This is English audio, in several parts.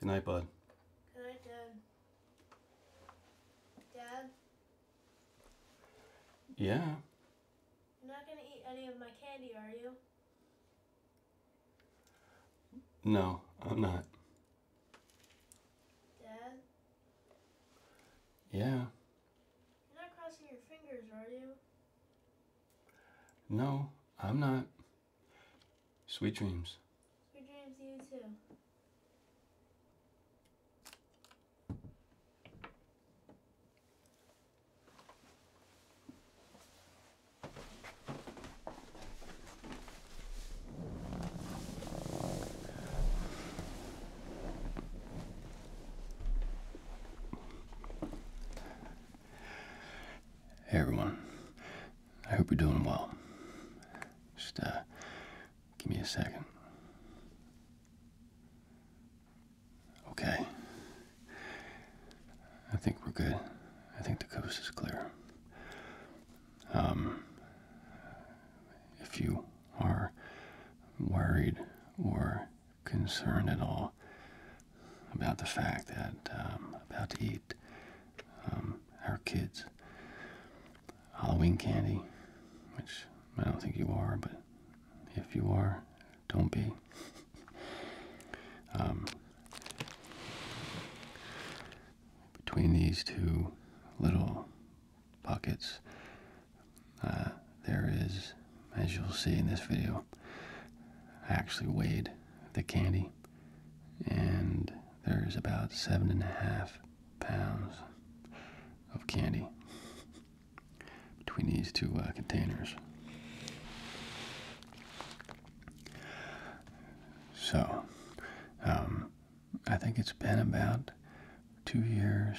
Good night, bud. Good night, Dad. Dad? Yeah? You're not going to eat any of my candy, are you? No, I'm not. Dad? Yeah? You're not crossing your fingers, are you? No, I'm not. Sweet dreams. Sweet dreams to you too. Hey everyone, I hope you're doing well. Just uh, give me a second. Okay. I think we're good. I think the coast is clear. Um, if you are worried or concerned at all, about the fact that um, about to eat our um, kids Halloween candy, which I don't think you are, but if you are, don't be. Um, between these two little pockets, uh, there is, as you'll see in this video, I actually weighed the candy and there's about seven and a half pounds of candy between these two uh, containers. So, um, I think it's been about two years,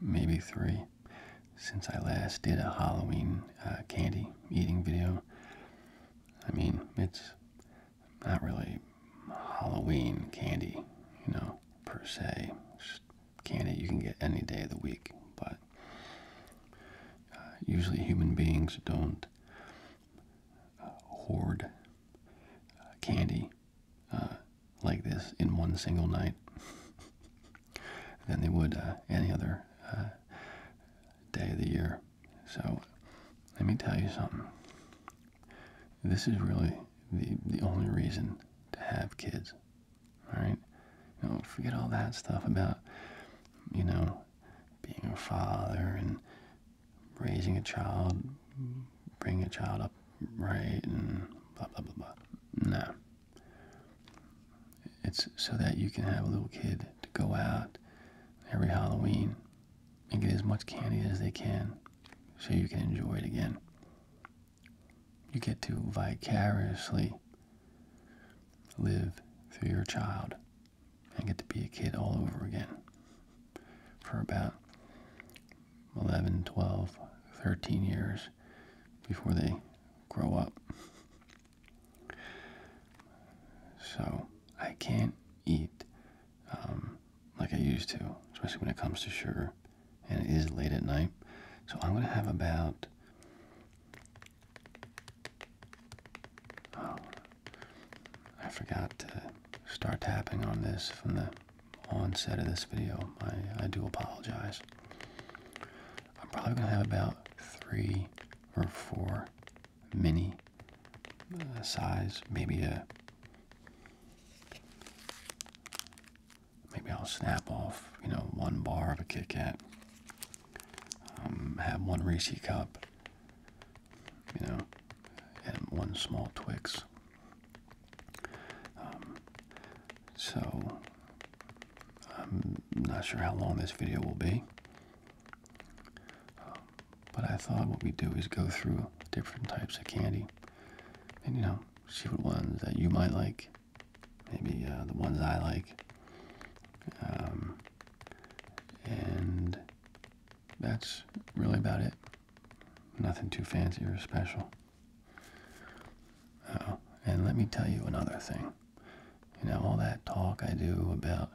maybe three, since I last did a Halloween uh, candy eating video. I mean, it's not really Halloween candy, you know, per se. candy you can get any day of the week, but uh, usually human beings don't uh, hoard uh, candy like this in one single night than they would any other day of the year. So, let me tell you something. This is really the the only reason to have kids. All right? You know, forget all that stuff about you know being a father and raising a child, bringing a child up right and blah blah blah blah. No. It's so that you can have a little kid to go out every Halloween and get as much candy as they can so you can enjoy it again. You get to vicariously live through your child and get to be a kid all over again for about 11, 12, 13 years before they grow up. So I can't eat um, like I used to, especially when it comes to sugar, and it is late at night. So I'm gonna have about oh, I forgot to start tapping on this from the onset of this video. I, I do apologize. I'm probably gonna have about three or four mini uh, size. Maybe a maybe I'll snap off you know one bar of a Kit Kat. Um, have one Reese cup. You know, and one small Twix. Um, so I'm not sure how long this video will be. Um, but I thought what we do is go through different types of candy and, you know, see what ones that you might like, maybe uh, the ones I like. Um, and that's really about it. Nothing too fancy or special. and let me tell you another thing. You know, all that talk I do about,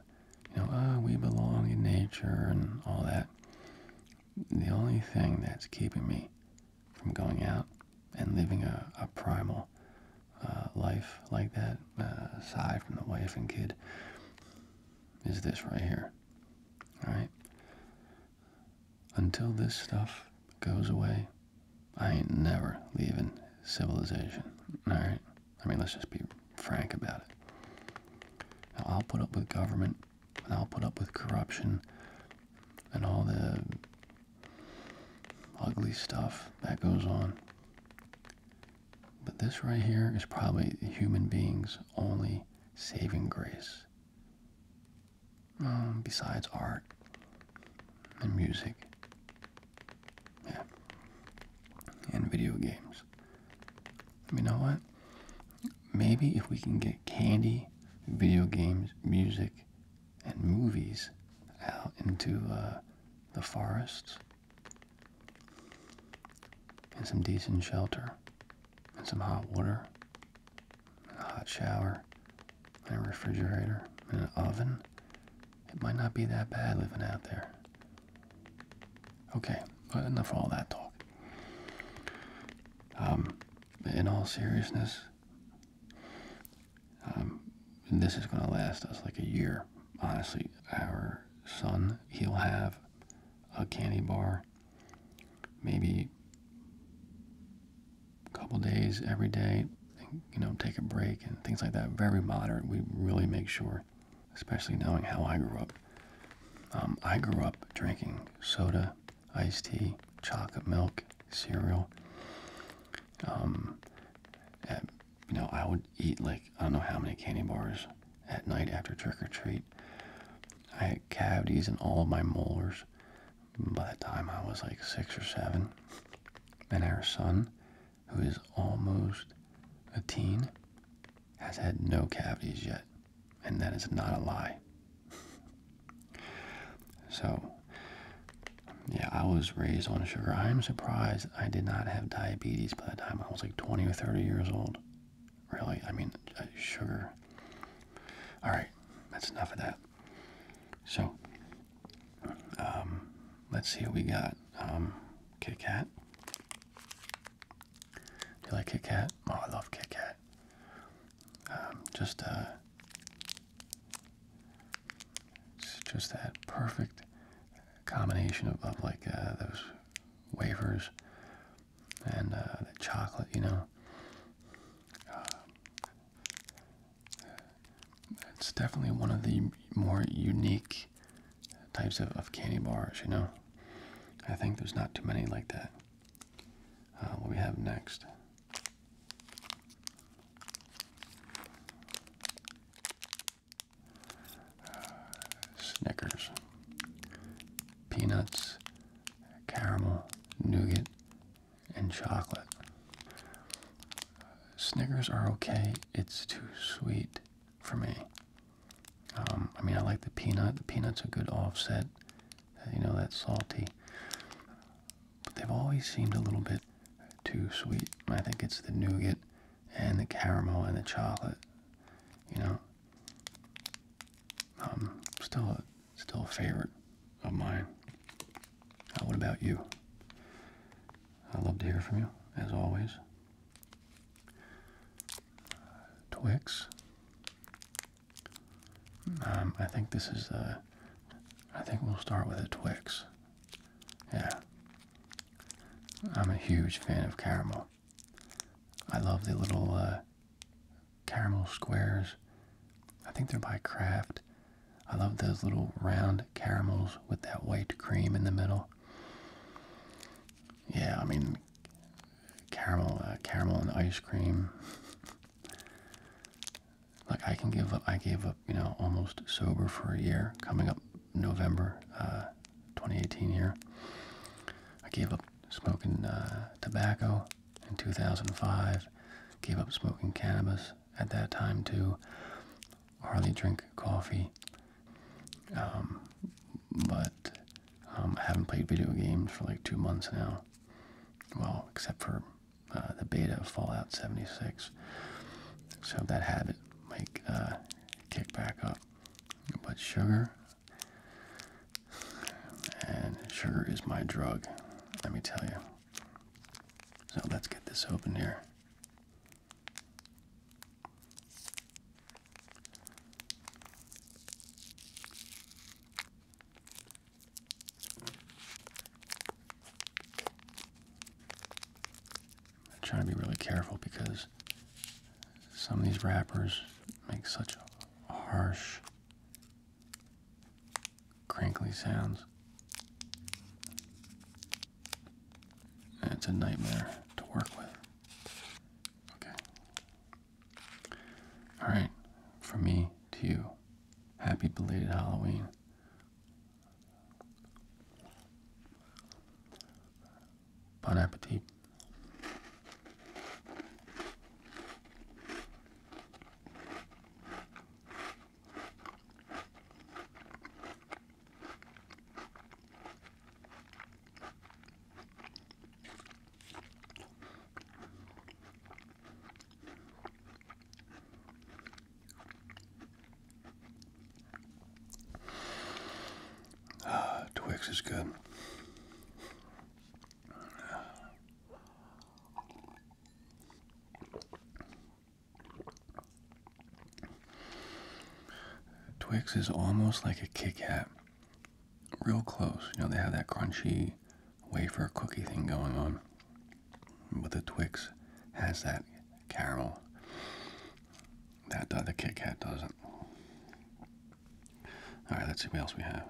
you know, ah, we belong in nature and all that. The only thing that's keeping me from going out and living a, a primal uh, life like that, uh, aside from the wife and kid, is this right here. All right? Until this stuff goes away, I ain't never leaving civilization. All right? I mean, let's just be frank about it. I'll put up with government, and I'll put up with corruption, and all the ugly stuff that goes on. But this right here is probably human beings' only saving grace. Mm, besides art and music yeah. And video games. you know what? Maybe if we can get candy, video games, music, and movies out into uh, the forests and some decent shelter and some hot water and a hot shower and a refrigerator and an oven it might not be that bad living out there. Okay, but enough of all that talk. Um, in all seriousness, um, this is going to last us like a year. Honestly, our son, he'll have a candy bar maybe a couple days every day you know, take a break and things like that. Very moderate. We really make sure, especially knowing how I grew up. Um, I grew up drinking soda, iced tea, chocolate milk, cereal. Um, you know, I would eat like I don't know how many candy bars at night after trick or treat. I had cavities in all of my molars by the time I was like six or seven. And our son who is almost a teen, has had no cavities yet. And that is not a lie. so, yeah, I was raised on sugar. I am surprised I did not have diabetes by the time I was like 20 or 30 years old. Really? I mean, uh, sugar. All right, that's enough of that. So, um, let's see what we got um, Kit Kat. Do you like Kit Kat? Oh, I love Kit Kat. Um, just uh, just that perfect combination of, like uh, those wafers and uh, the chocolate, you know. Um, it's definitely one of the more unique types of, candy bars, you know. I think there's not too many like that. Uh, what we have next. Snickers, peanuts, caramel, nougat, and chocolate. Snickers are okay it's too sweet for me. Um, I mean, I like the peanut. The peanut's a good offset. You know, that's salty. But they've always seemed a little bit too sweet. I think it's the nougat and the caramel and the chocolate. You know, um, still, a, still a favorite of mine what about you? i love to hear from you, as always. Twix. Um, I think this is the. Uh, I think we'll start with a Twix. Yeah. I'm a huge fan of caramel. I love the little uh, caramel squares. I think they're by Kraft. I love those little round caramels with that white cream in the middle. Yeah, I mean, caramel, uh, caramel and ice cream. like I can give up. I gave up. You know, almost sober for a year. Coming up November, uh, 2018 here. I gave up smoking uh, tobacco in 2005. Gave up smoking cannabis at that time too. Hardly drink coffee, um, but um, I haven't played video games for like two months now. Well, except for uh, the beta of Fallout 76, so that habit might uh, kick back up. But sugar, and sugar is my drug. Let me tell you. So let's get this open here. I try to be really careful because some of these wrappers make such harsh, crinkly sounds. It's a nightmare to work with. Okay. Alright, For me to you. Happy belated Halloween. Bon appetit. Ah, Twix is good. Twix is almost like a Kit Kat, real close. You know, they have that crunchy wafer cookie thing going on, but the Twix has that caramel that uh, the Kit Kat doesn't. All right, let's see what else we have.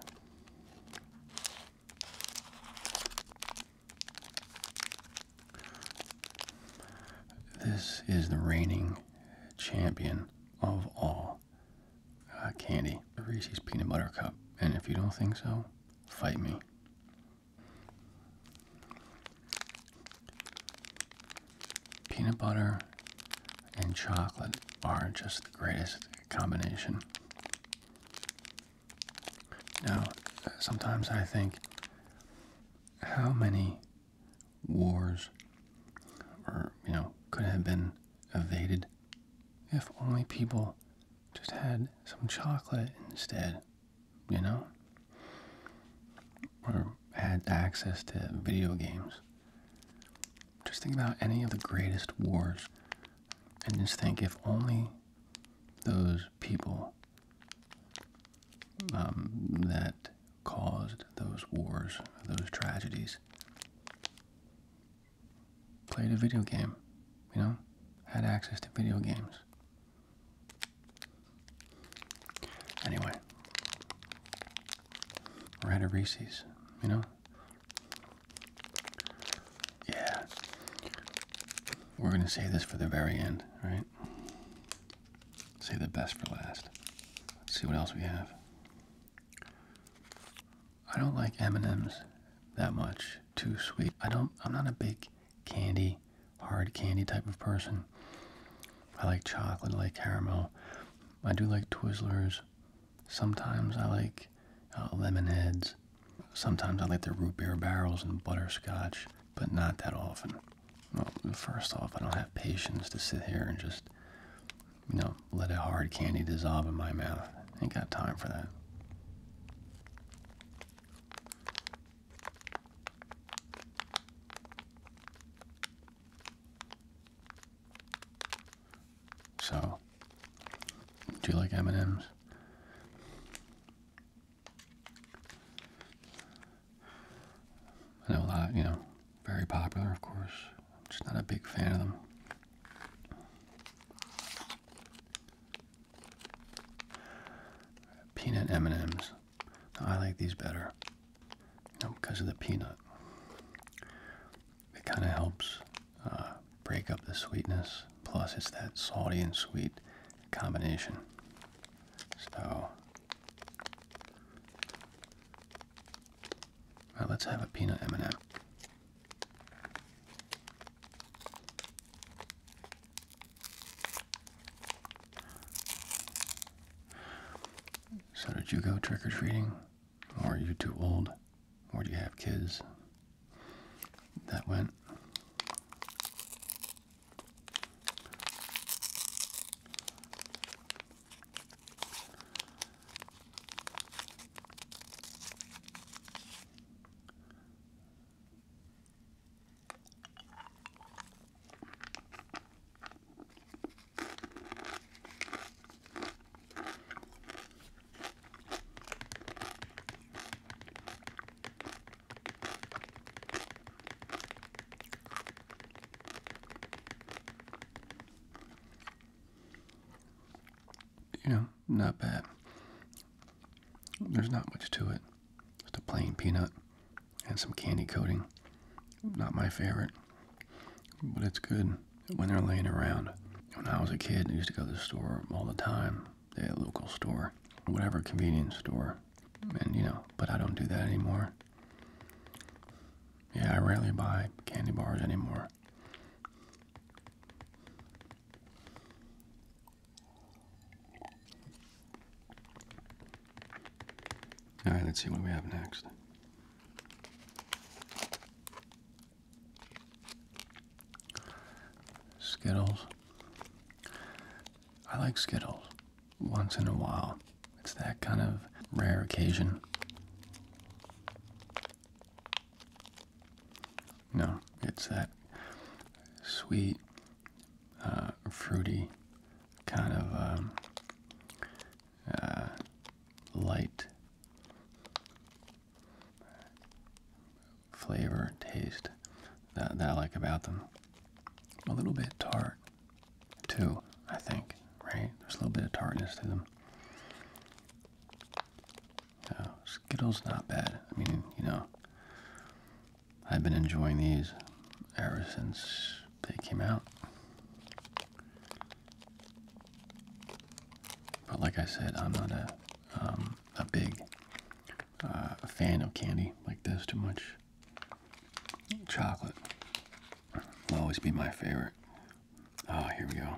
This is the reigning champion of all uh, candy, the Reese's Peanut Butter Cup. And if you don't think so, fight me. Peanut butter and chocolate are just the greatest combination. Now, sometimes I think how many wars or you know could have been evaded if only people just had some chocolate instead, you know? Or had access to video games. Just think about any of the greatest wars and just think if only those people um, that caused those wars, those tragedies. Played a video game, you know, had access to video games. Anyway, or had a Reese's, you know. Yeah. We're going to save this for the very end, right? Save the best for last. Let's see what else we have. I don't like M&Ms that much. Too sweet. I don't I'm not a big candy, hard candy type of person. I like chocolate, I like caramel. I do like Twizzlers. Sometimes I like uh, lemonheads. Sometimes I like the root beer barrels and butterscotch but not that often. Well, first off, I don't have patience to sit here and just, you know, let a hard candy dissolve in my mouth. Ain't got time for that. So, do you like M&M's? I know a lot, you know, very popular, of course. I'm just not a big fan of them. Peanut M&Ms. I like these better, because of the peanut. It kind of helps uh, break up the sweetness. Plus, it's that salty and sweet combination. So let's have a peanut M&M. So did you go trick or treating, or are you too old, or do you have kids? that went. You know, not bad. There's not much to it. Just a plain peanut and some candy coating. Not my favorite, but it's good when they're laying around. When I was a kid, I used to go to the store all the time the local store, whatever convenience store. And you know, but I don't do that anymore. Yeah, I rarely buy candy bars anymore. All right, let's see what we have next. Skittles. I like Skittles once in a while. It's that kind of rare occasion. No, it's that sweet, uh, fruity kind of um, uh, light flavor, taste that, that I like about them. A little bit tart, too, I think, right? There's a little bit of tartness to them. Skittles, not bad. I mean, you know, I've been enjoying these ever since they came out. But like I said, I'm not a um, a big uh, a fan of candy like this too much. Chocolate will always be my favorite. Oh, here we go.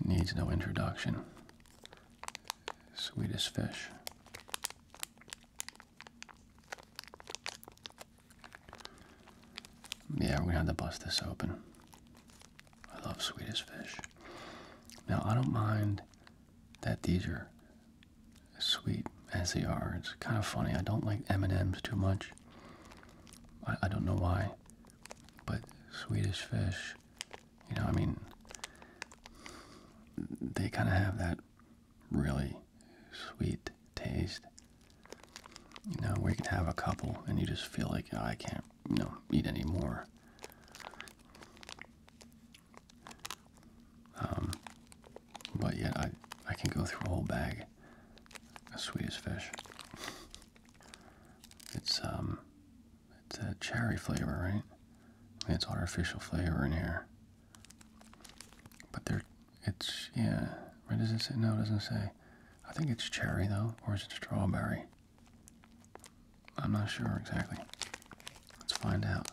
It needs no introduction. Sweetest fish. Yeah, we're gonna have to bust this open. I love Swedish fish. Now, I don't mind that these are sweet as they are. It's kind of funny. I don't like M&M's too much. I, I don't know why. But Swedish fish, you know, I mean, they kind of have that really sweet taste you know, where you can have a couple and you just feel like oh, I can't, you know, eat anymore. Um, but yet I I can go through a whole bag of Swedish fish. It's um, it's a cherry flavor, right? it's artificial flavor in here, but they're it's, yeah, right, does it say? No, it doesn't say. I think it's cherry, though, or is it strawberry? I'm not sure exactly. Let's find out.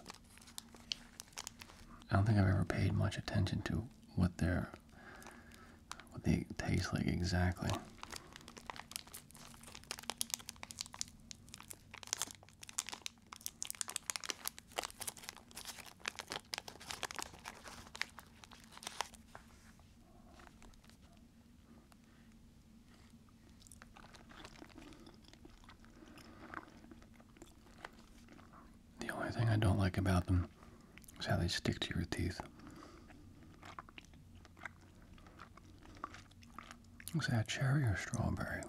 I don't think I've ever paid much attention to what they're, what they taste like exactly. The only thing I don't like about them is how they stick to your teeth. Is that cherry or strawberry?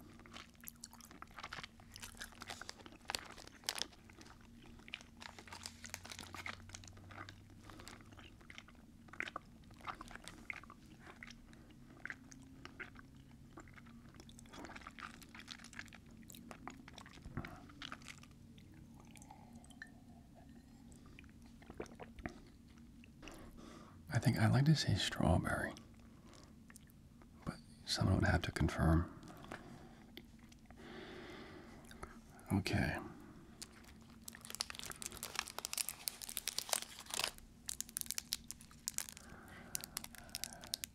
I think i like to say strawberry, but someone would have to confirm. Okay.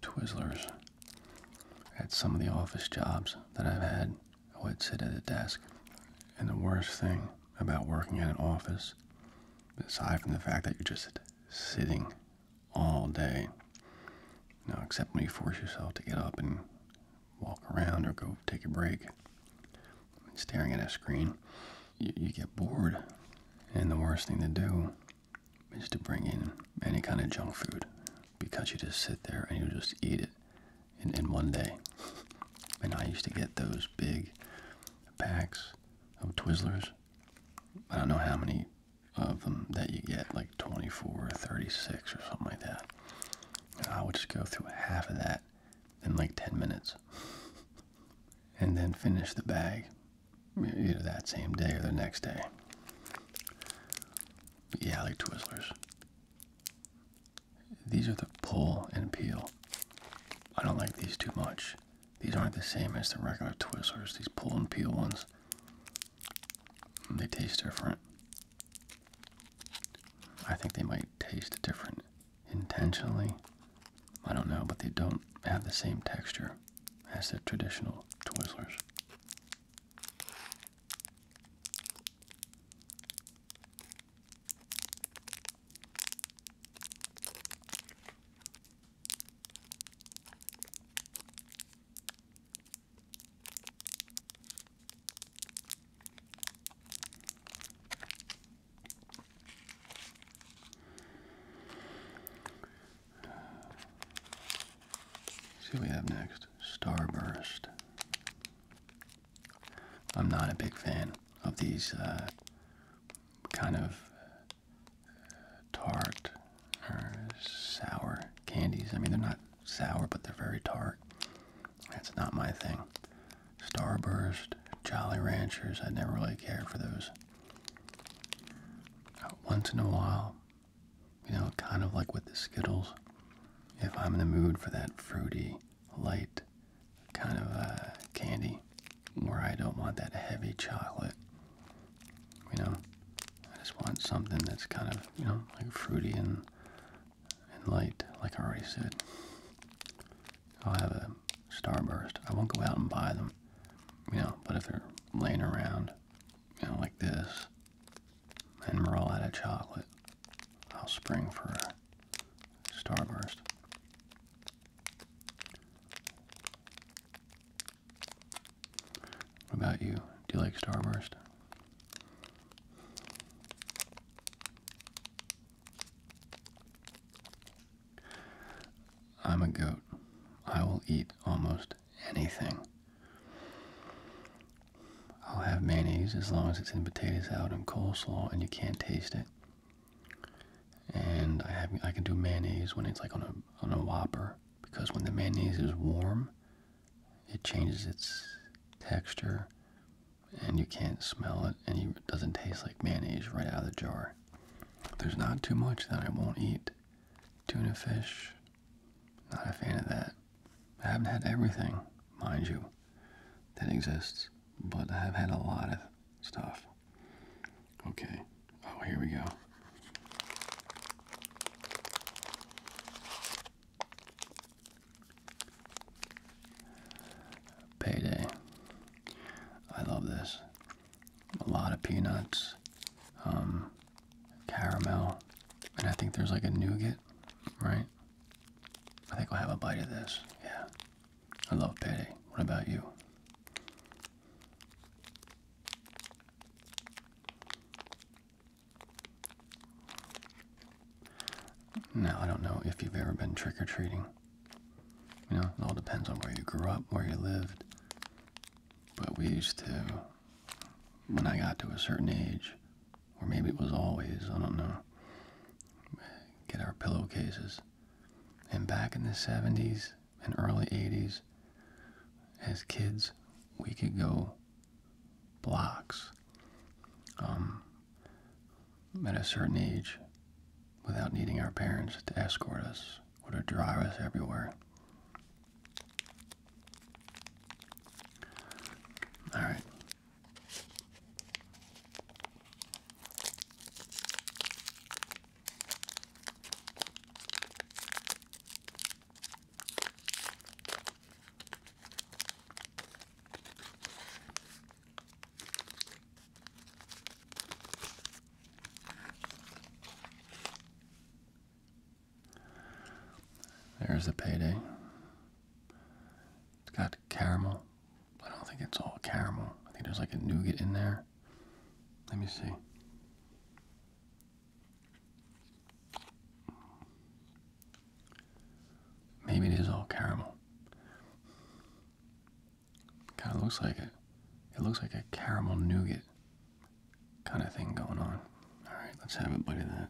Twizzlers. At some of the office jobs that I've had, I would sit at a desk. And the worst thing about working in an office, aside from the fact that you're just sitting all day, you know, except when you force yourself to get up and walk around or go take a break. Staring at a screen, you, you get bored. And the worst thing to do is to bring in any kind of junk food because you just sit there and you just eat it in, in one day. And I used to get those big packs of Twizzlers. I don't know how many of them that you get, like 24 or 36 or something like that. I would just go through half of that in like 10 minutes and then finish the bag either that same day or the next day. Yeah, I like Twizzlers. These are the pull and peel. I don't like these too much. These aren't the same as the regular Twizzlers, these pull and peel ones. They taste different. I think they might taste different intentionally. I don't know, but they don't have the same texture as the traditional Twizzlers. See we have next. Starburst. I'm not a big fan of these uh, kind of uh, tart sour candies. I mean, they're not sour, but they're very tart. That's not my thing. Starburst, Jolly Ranchers, I never really care for those. Uh, once in a while, you know, kind of like with the Skittles, if I'm in the mood for that fruity, light kind of uh, candy where I don't want that heavy chocolate, you know, I just want something that's kind of, you know, like fruity and, and light, like I already said. I'll have a starburst. I won't go out and buy them, you know, but if they're laying around, you know, like this, and we're all chocolate, I'll spring for a starburst. What about you? Do you like Starburst? I'm a goat. I will eat almost anything. I'll have mayonnaise as long as it's in potato salad and coleslaw and you can't taste it. And I have I can do mayonnaise when it's like on a on a whopper because when the mayonnaise is warm, it changes its texture and you can't smell it and it doesn't taste like mayonnaise right out of the jar. There's not too much that I won't eat. Tuna fish, not a fan of that. I haven't had everything, mind you, that exists, but I have had a lot of stuff. Okay, oh, here we go. Payday. I love this. A lot of peanuts, um, caramel, and I think there's like a nougat, right? I think I'll have a bite of this. Yeah. I love payday. What about you? Now, I don't know if you've ever been trick or treating. You know, it all depends on where you grew up, where you lived. But we used to, when I got to a certain age, or maybe it was always, I don't know, get our pillowcases. And back in the 70s and early 80s, as kids, we could go blocks um, at a certain age without needing our parents to escort us or to drive us everywhere. All right. There's a payday. It's got caramel. I don't think it's all caramel. I think there's like a nougat in there. Let me see. Maybe it is all caramel. Kind of looks like it. It looks like a caramel nougat kind of thing going on. All right, let's have a buddy. that.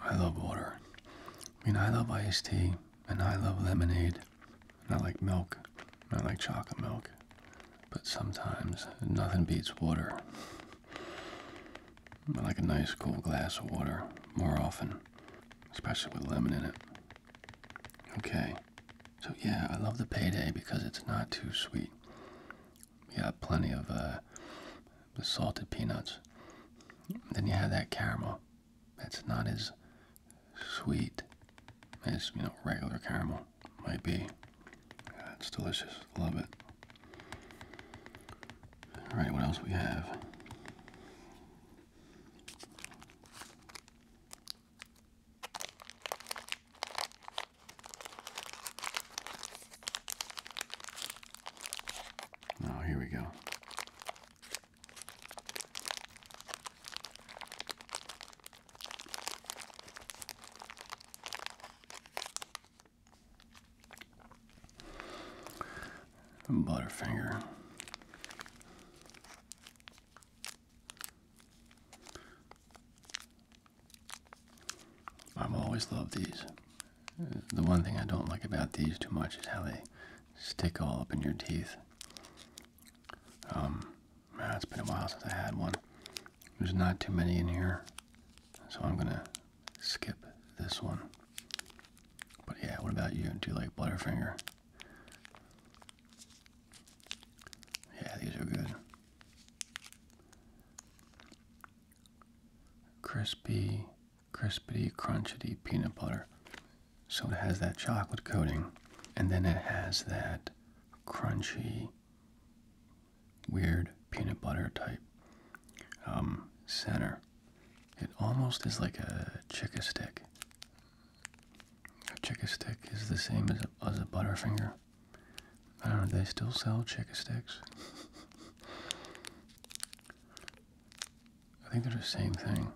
I love water. I mean, I love iced tea, and I love lemonade, and I like milk, and I like chocolate milk. But sometimes nothing beats water. I like a nice cool glass of water more often especially with lemon in it. Okay, so yeah, I love the payday because it's not too sweet. You got plenty of uh, the salted peanuts. Then you have that caramel. That's not as sweet as you know regular caramel might be. Yeah, it's delicious. Love it. All right, what else we have? Oh, here we go. Butterfinger. I've always loved these. The one thing I don't like about these too much is how they stick all up in your teeth. Um, man, it's been a while since I had one. There's not too many in here, so I'm gonna skip this one. But yeah, what about you? Do you like Butterfinger? Yeah, these are good. Crispy, crispity, crunchity peanut butter. So it has that chocolate coating, and then it has that crunchy, weird peanut butter type um, center. It almost is like a Chica stick. A chicka stick is the same as a, butterfinger. I don't know, do they still sell Chica sticks? I think they're the same thing.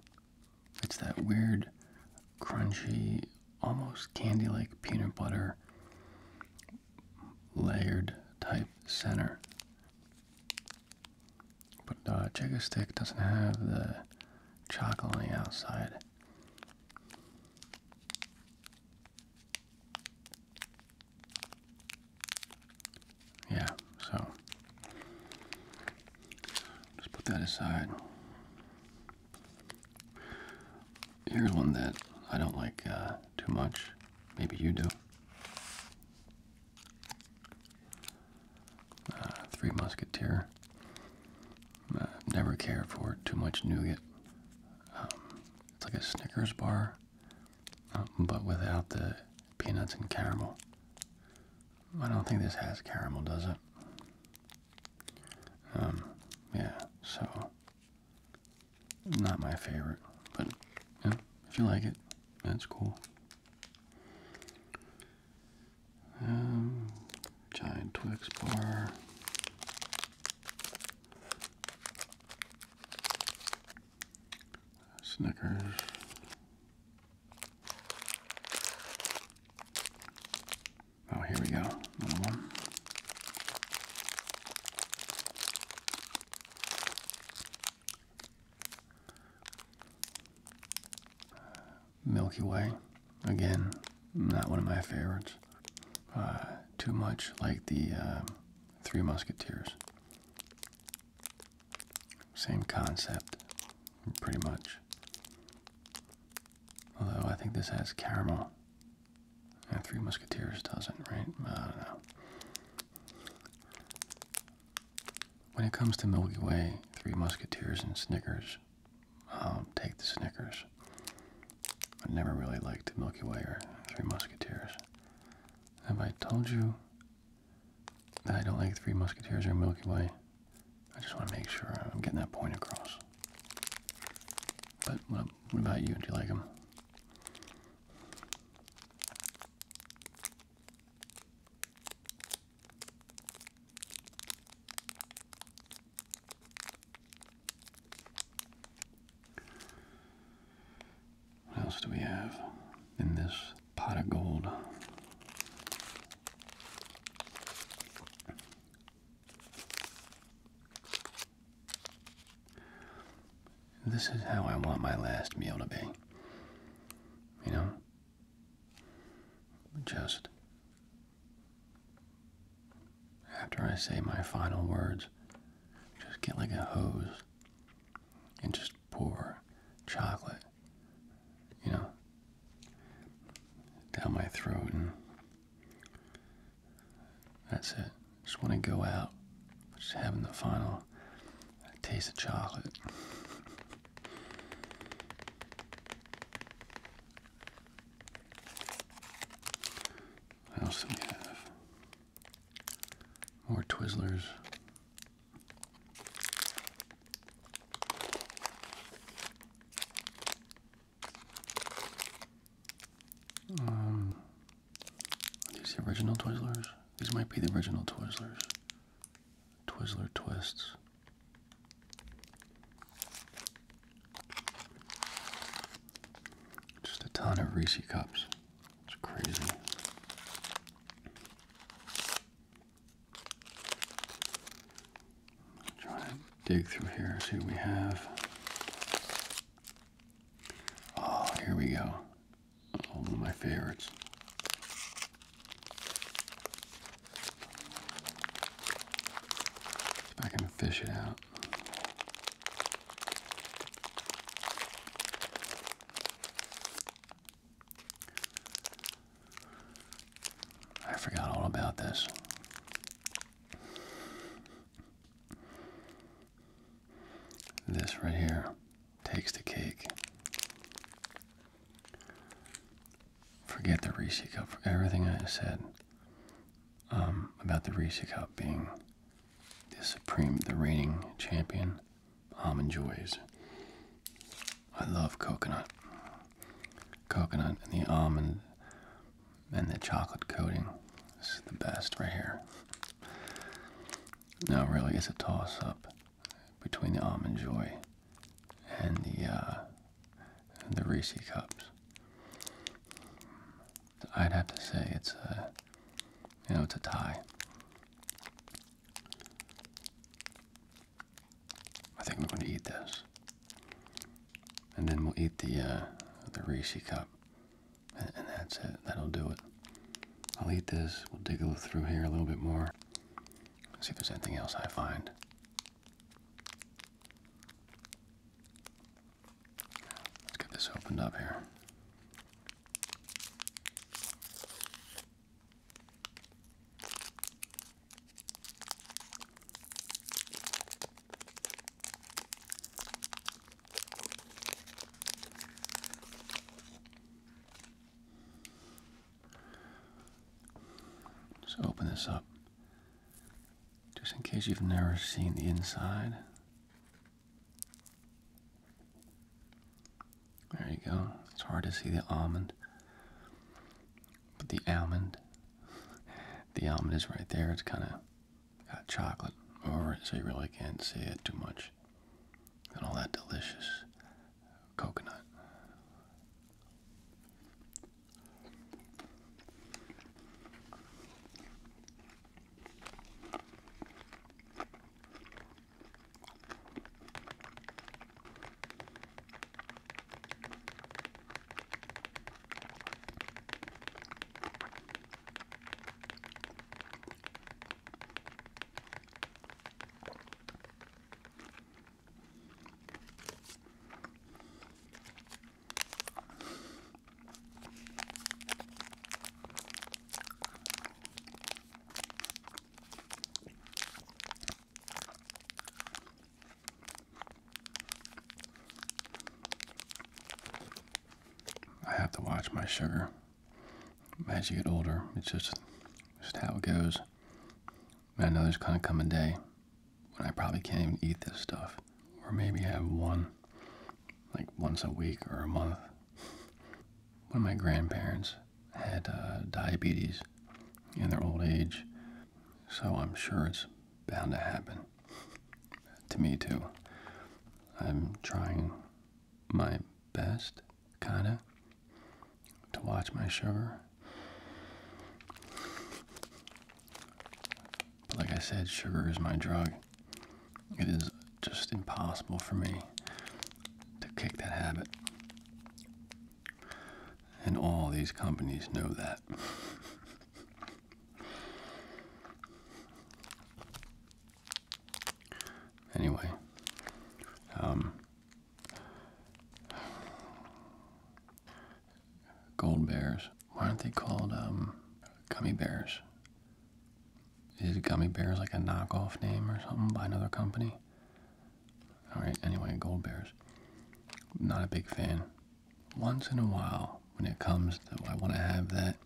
It's that weird, crunchy, almost candy-like peanut butter layered type center. But the uh, Chigga Stick doesn't have the chocolate on the outside. Yeah, so just put that aside. Here's one that I don't like uh, too much. Maybe you do. Uh, Three Musketeer. Uh, never care for Too much nougat. Um, it's like a Snickers bar, um, but without the peanuts and caramel. I don't think this has caramel, does it? Um, yeah, so not my favorite, but yeah, if you like it, that's cool. Um, giant Twix bar. Snickers. Oh, here we go. Another one. Milky Way, again, not one of my favorites. Uh, too much like the uh, Three Musketeers. Same concept, pretty much. Although I think this has caramel. And Three Musketeers doesn't, right? I don't know. When it comes to Milky Way, Three Musketeers, and Snickers, I'll take the Snickers. I never really liked Milky Way or Three Musketeers. Have I told you that I don't like Three Musketeers or Milky Way? I just want to make sure I'm getting that point across. But what, what about you? Do you like them? What else do we have in this pot of gold? This is how I want my last meal to be you know? Just after I say my final words, just get like a hose and just pour chocolate, you know, down my throat, and that's it. Just want to go out, just having the final taste of chocolate. What else do we have? More Twizzlers. Um, are these original Twizzlers? These might be the original Twizzlers. Twizzler twists. Just a ton of Reese cups. It's crazy. Try to dig through here, see what we have. Oh, here we go one of my favorites. If I can fish it out. I forgot all about this. This right here takes the cake. Forget the Reese cup for everything I said um, about the Reese cup being the supreme, the reigning champion. Almond joys. I love coconut, coconut, and the almond, and the chocolate coating. This is the best right here. Now, really, it's a toss-up between the almond joy and the uh, the Reese cups. I'd have to say it's a you know it's a tie. I think we're going to eat this, and then we'll eat the uh, the Reese cup, and, and that's it. That'll do it. I'll eat this. We'll dig a little through here a little bit more. See if there's anything else I find. Let's get this opened up here. Just open this up just in case you've never seen the inside. There you go. It's hard to see the almond. But the almond, the almond is right there. It's kind of got chocolate over it, so you really can't see it too much and all that delicious coconut. I have to watch my sugar as you get older, it's just just how it goes. I know there's gonna come a day when I probably can't even eat this stuff, or maybe have one like once a week or a month. One of my grandparents had uh, diabetes in their old age, so I'm sure it's bound to happen to me too. I'm trying my best, kinda, to watch my sugar. But like I said, sugar is my drug. It is just impossible for me to kick that habit. And all these companies know that. Anyway, um, gold bears. Why aren't they called um, gummy bears? Is gummy bears like a knockoff name or something by another company? All right. Anyway, gold bears. Not a big fan. Once in a while, when it comes to I want to have that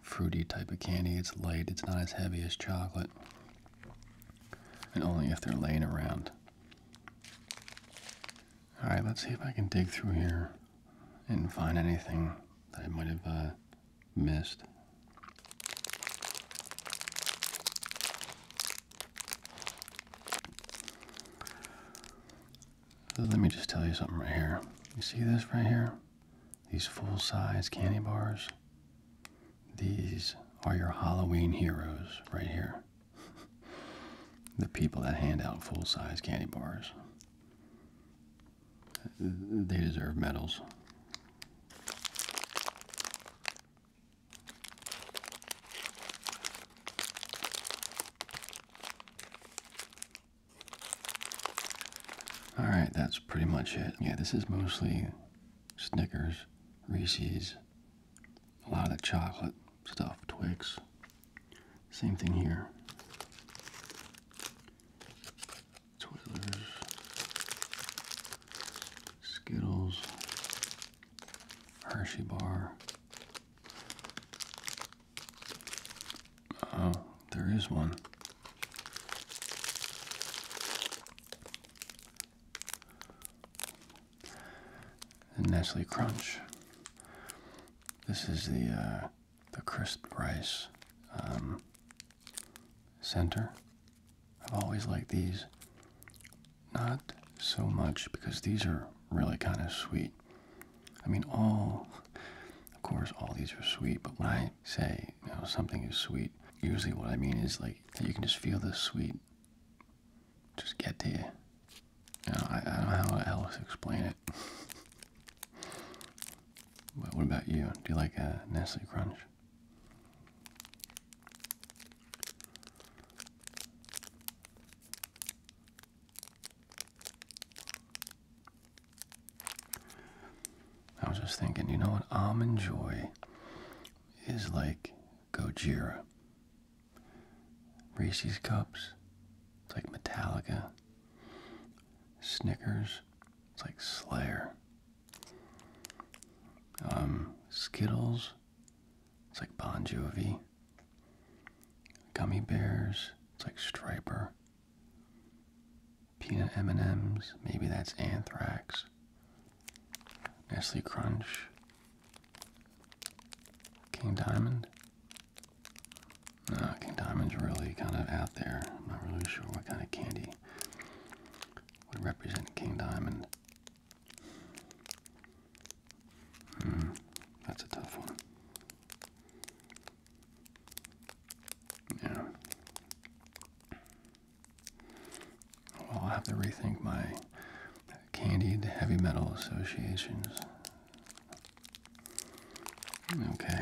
fruity type of candy. It's light, it's not as heavy as chocolate. And only if they're laying around. Alright, let's see if I can dig through here and find anything that I might have uh, missed. let me just tell you something right here. You see this right here? these full size candy bars, these are your Halloween heroes right here. the people that hand out full size candy bars. They deserve medals. All right, that's pretty much it. Yeah, this is mostly Snickers, Reese's, a lot of the chocolate stuff, Twix. Same thing here. Twizzlers, Skittles, Hershey bar. Oh, there is one. And Crunch. This is the uh, the crisp rice um, center. I've always liked these. Not so much because these are really kind of sweet. I mean, all of course, all these are sweet, but when I say you know something is sweet, usually what I mean is like you can just feel the sweet just get to you. I, I don't know how else to explain it. but what about you? Do you like a Nestle Crunch? I was just thinking, you know what? Almond Joy is like Gojira. Reese's Cups, it's like Metallica. Snickers, it's like Slayer. Um, Skittles, it's like Bon Jovi. Gummy Bears, it's like Striper. Peanut M&Ms, maybe that's anthrax. Nestle Crunch. King Diamond? No, King Diamond's really kind of out there. I'm not really sure what kind of candy would represent King Diamond. Hmm, that's a tough one. Yeah. Well, I'll have to rethink my candied heavy metal associations. Okay.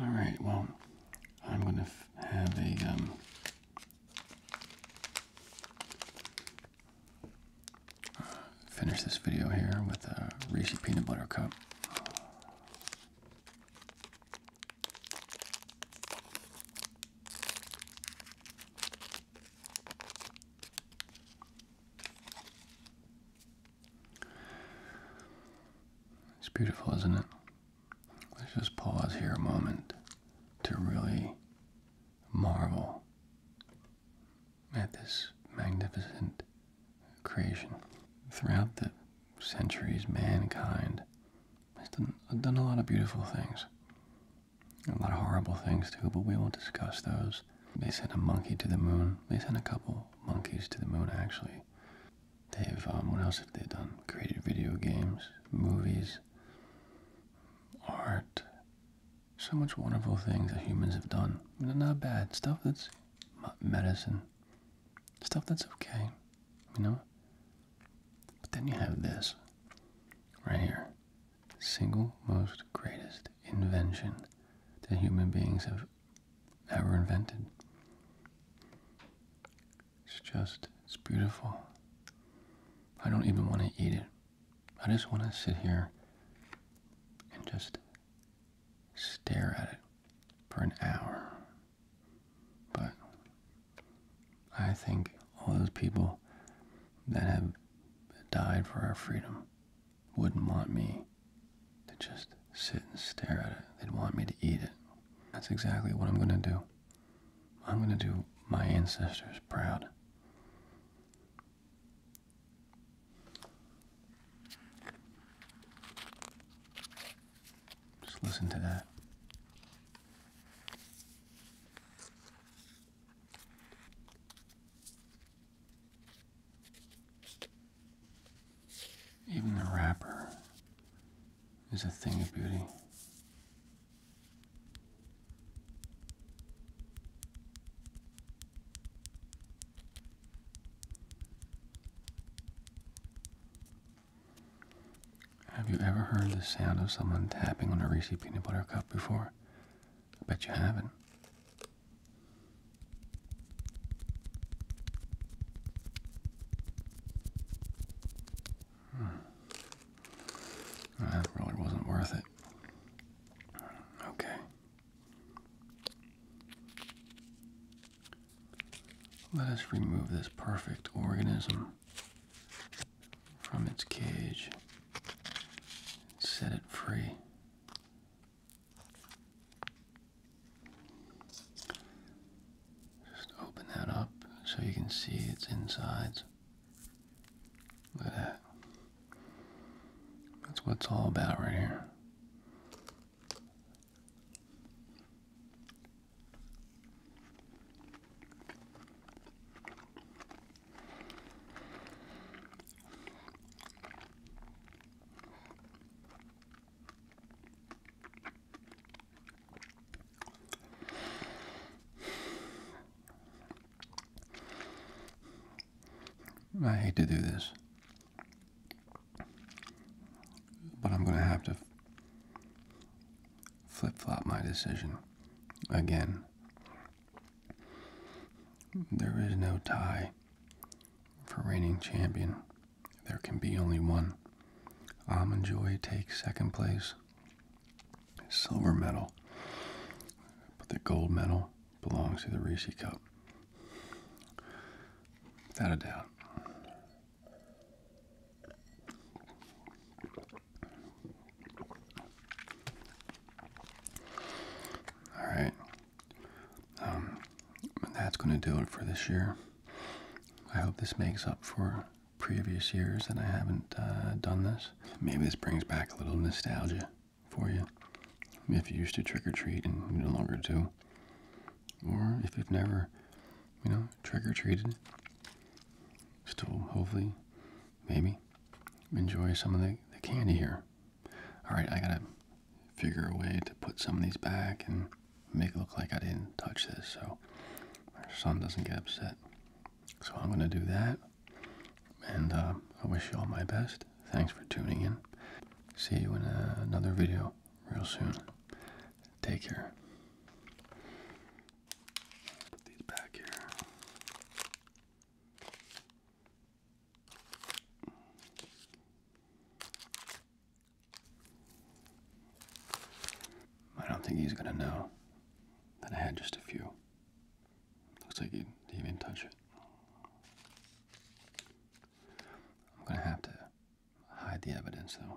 All right. Well, I'm gonna have a um finish this video here with a Reese's peanut butter cup. It's beautiful, isn't it? Let's just pause here a moment to really marvel at this magnificent creation. Throughout the centuries, mankind has done, a lot of beautiful things. A lot of horrible things too, but we won't discuss those. They sent a monkey to the moon. They sent a couple monkeys to the moon, actually. They've, um, what else have they done? Created video games, movies, art. So much wonderful things that humans have done. Not bad. Stuff that's medicine, stuff that's okay, you know? But then you have this right here single most greatest invention that human beings have ever invented. It's just, it's beautiful. I don't even want to eat it. I just want to sit here and just stare at it for an hour. But I think all those people that have died for our freedom wouldn't want me to just sit and stare at it. They'd want me to eat it. That's exactly what I'm going to do. I'm going to do my ancestors proud. Just listen to that. Even the wrapper is a thing of beauty. Have you ever heard the sound of someone tapping on a Reese's peanut butter cup before? I bet you haven't. Hmm. That really wasn't worth it. Okay. Let us remove this perfect organism from its cage, and set it free. Just open that up so you can see its insides. Look at that. That's what it's all about right here. I hate to do this, but I'm going to have to flip flop my decision again. There is no tie for reigning champion, there can be only one. Am Joy take second place, silver medal, but the gold medal belongs to the Reese Cup. Without a doubt. All right. Um, that's going to do it for this year. I hope this makes up for previous years that I haven't uh, done this. Maybe this brings back a little nostalgia for you if you used to trick or treat and you no longer do, or if you've never, you know, trick or treated, still hopefully, maybe, enjoy some of the, candy here. All right, I gotta figure a way to put some of these back and make it look like I didn't touch this so our son doesn't get upset. So I'm gonna do that, and uh, I wish you all my best. Thanks for tuning in. See you in uh, another video real soon. Take care. Put these back here. I don't think he's gonna know that I had just a few. Looks like he didn't touch it. I'm going to have to hide the evidence, though.